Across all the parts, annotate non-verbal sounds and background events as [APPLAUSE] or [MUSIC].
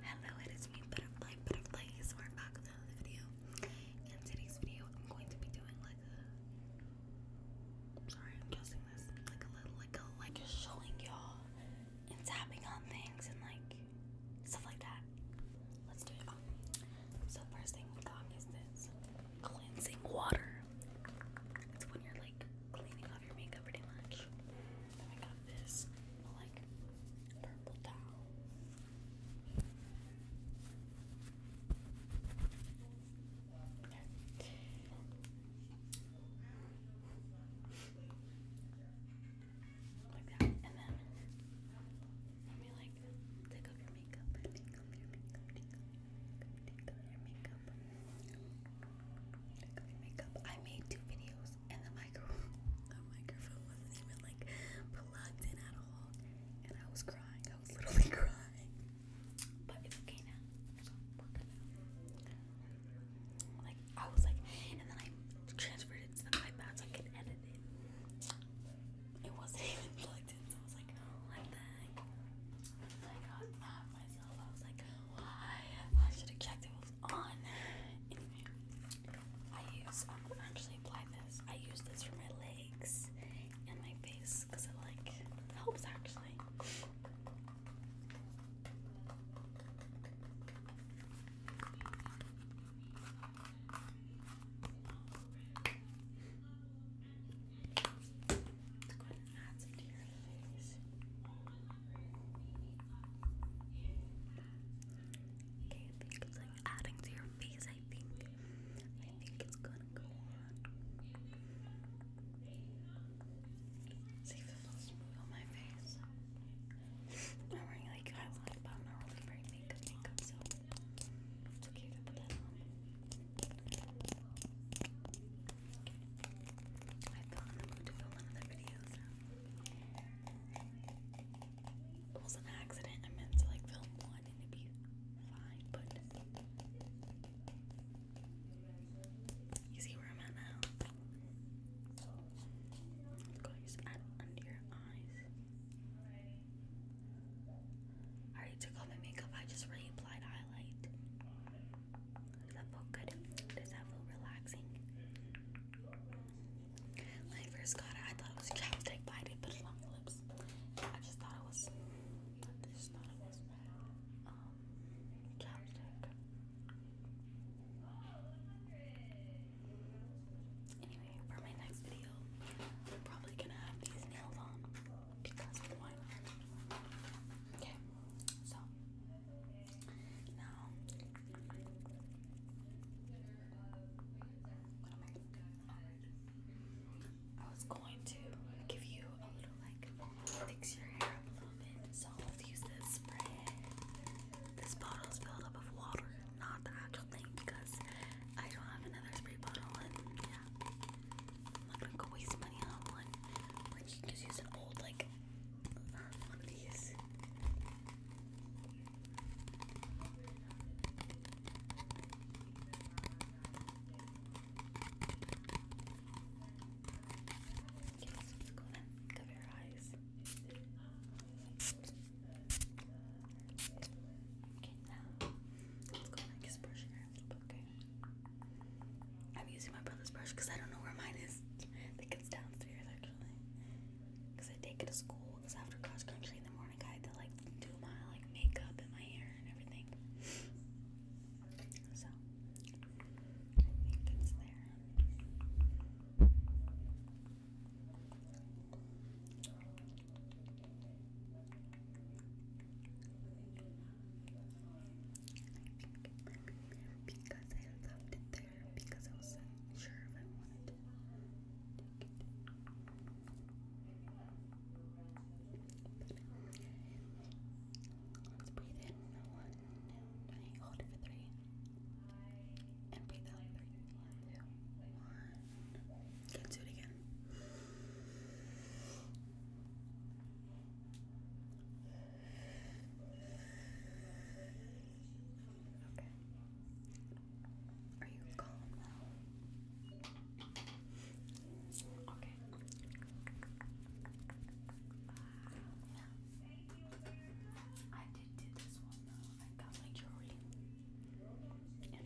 Hello, it is me, Butterfly Butterflies. We're back with another video. In today's video, I'm going to be doing like a. Sorry, I'm guessing this. Like a little, like a, like a showing y'all and tapping on things and like stuff like that. Let's do it. So, first thing we got is this cleansing water. It's when you're like cleaning off your makeup pretty much. Then I got this like purple towel. Like that. And then let me like take off your makeup, take off your makeup, take off your makeup. I made two videos and the micro [LAUGHS] the microphone wasn't even like plugged in at all. And I was crying. I was literally [LAUGHS] crying. But it's okay now. like I was like and then I transferred it to the iPad so I could edit it. It wasn't [LAUGHS] even plugged in, so I was like, oh, what I got mad myself. I was like, why? I should have checked it was on. Anyway, I use, I'm um, actually apply this. I use this for my legs and my face because it like helps actually add some to your face. Okay, I think it's like adding to your face, I think. I think it's gonna go on. See if it feels smooth on my face. [LAUGHS] I'm wearing like highlight, but I'm not really wearing makeup so it's okay if put that on. I felt in the mood to film another video, it was an accident. I meant to like film one and it'd be fine, but you see where I'm at now. Let's go just add under your eyes. I already took off my makeup, I just reapplied highlight. Does that feel good? Does that feel relaxing? When I first got it, I thought it was chapstick, but I did lips. I just thought it was. Um, chapstick. Anyway, for my next video, I'm probably gonna have these nails on because of Okay, so now am I going to was going to give you a little like fix your hair up a little bit. So I'll use this spray. This bottle is filled up with water, not the actual thing, because I don't have another spray bottle, and yeah, I'm not gonna go waste money on one where you can just use an old, like, one of these. Okay, let's go ahead cover your eyes. Okay, now let's go and just brush I'm using my brother's brush because I don't know where mine is. I think it's downstairs actually. Because I take it to school. Because after cross country in the morning, I had to like do my like makeup and my hair and everything. So I think it's there because I loved there because I wasn't sure if I wanted to let's breathe in one, two, three, hold it for three. And breathe out three, two, one. Let's do it again. Are you calm now? Okay. Uh, I did do this one though. I got my jewelry. And I don't like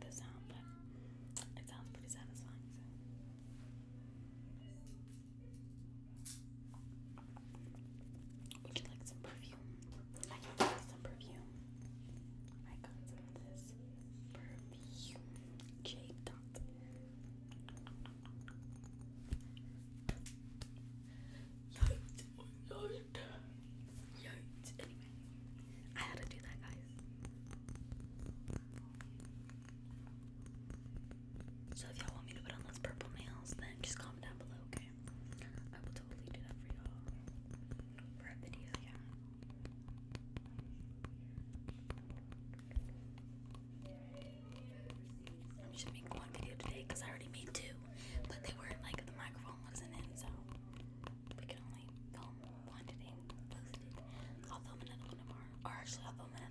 the sound, but it sounds pretty satisfying. Would you like some perfume? I can give some perfume. I got some this perfume. J dot. Yikes. Anyway, I had to do that, guys. So if y'all want me to put on those purple nails, then just comment down below, okay? I will totally do that for y'all. For a video, yeah. I'm just one video today because I already made two, but they weren't like the microphone wasn't in, so we can only film one today I'll film another one tomorrow, or actually, I'll film another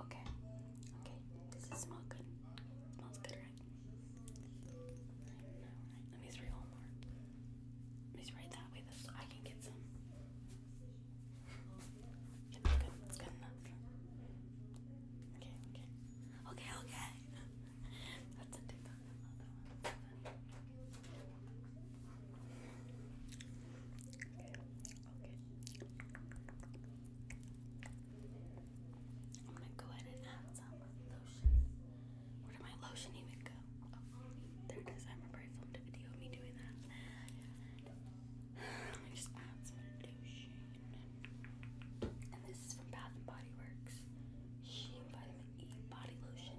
Okay, okay, does it smell good? smells good, right? Let me spray more. Let me that way so I can get some. good, enough. Okay, okay. Okay, okay. That's a TikTok. I'm gonna go ahead and add some lotion. Where did my lotion even go? Oh, there it is. I remember I filmed a video of me doing that. Let just add some lotion. And this is from Bath and Body Works. Sheen Vitamin E Body Lotion.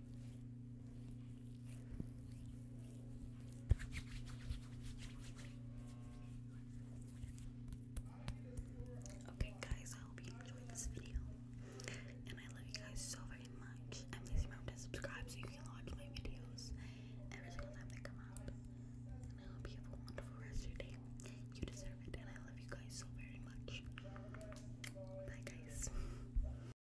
Okay, guys, I hope you enjoyed this video. And I love you guys so very much. And please remember to subscribe so you can watch my videos every single time they come out. And I hope you have a wonderful rest of your day. You deserve it. And I love you guys so very much. Bye, guys.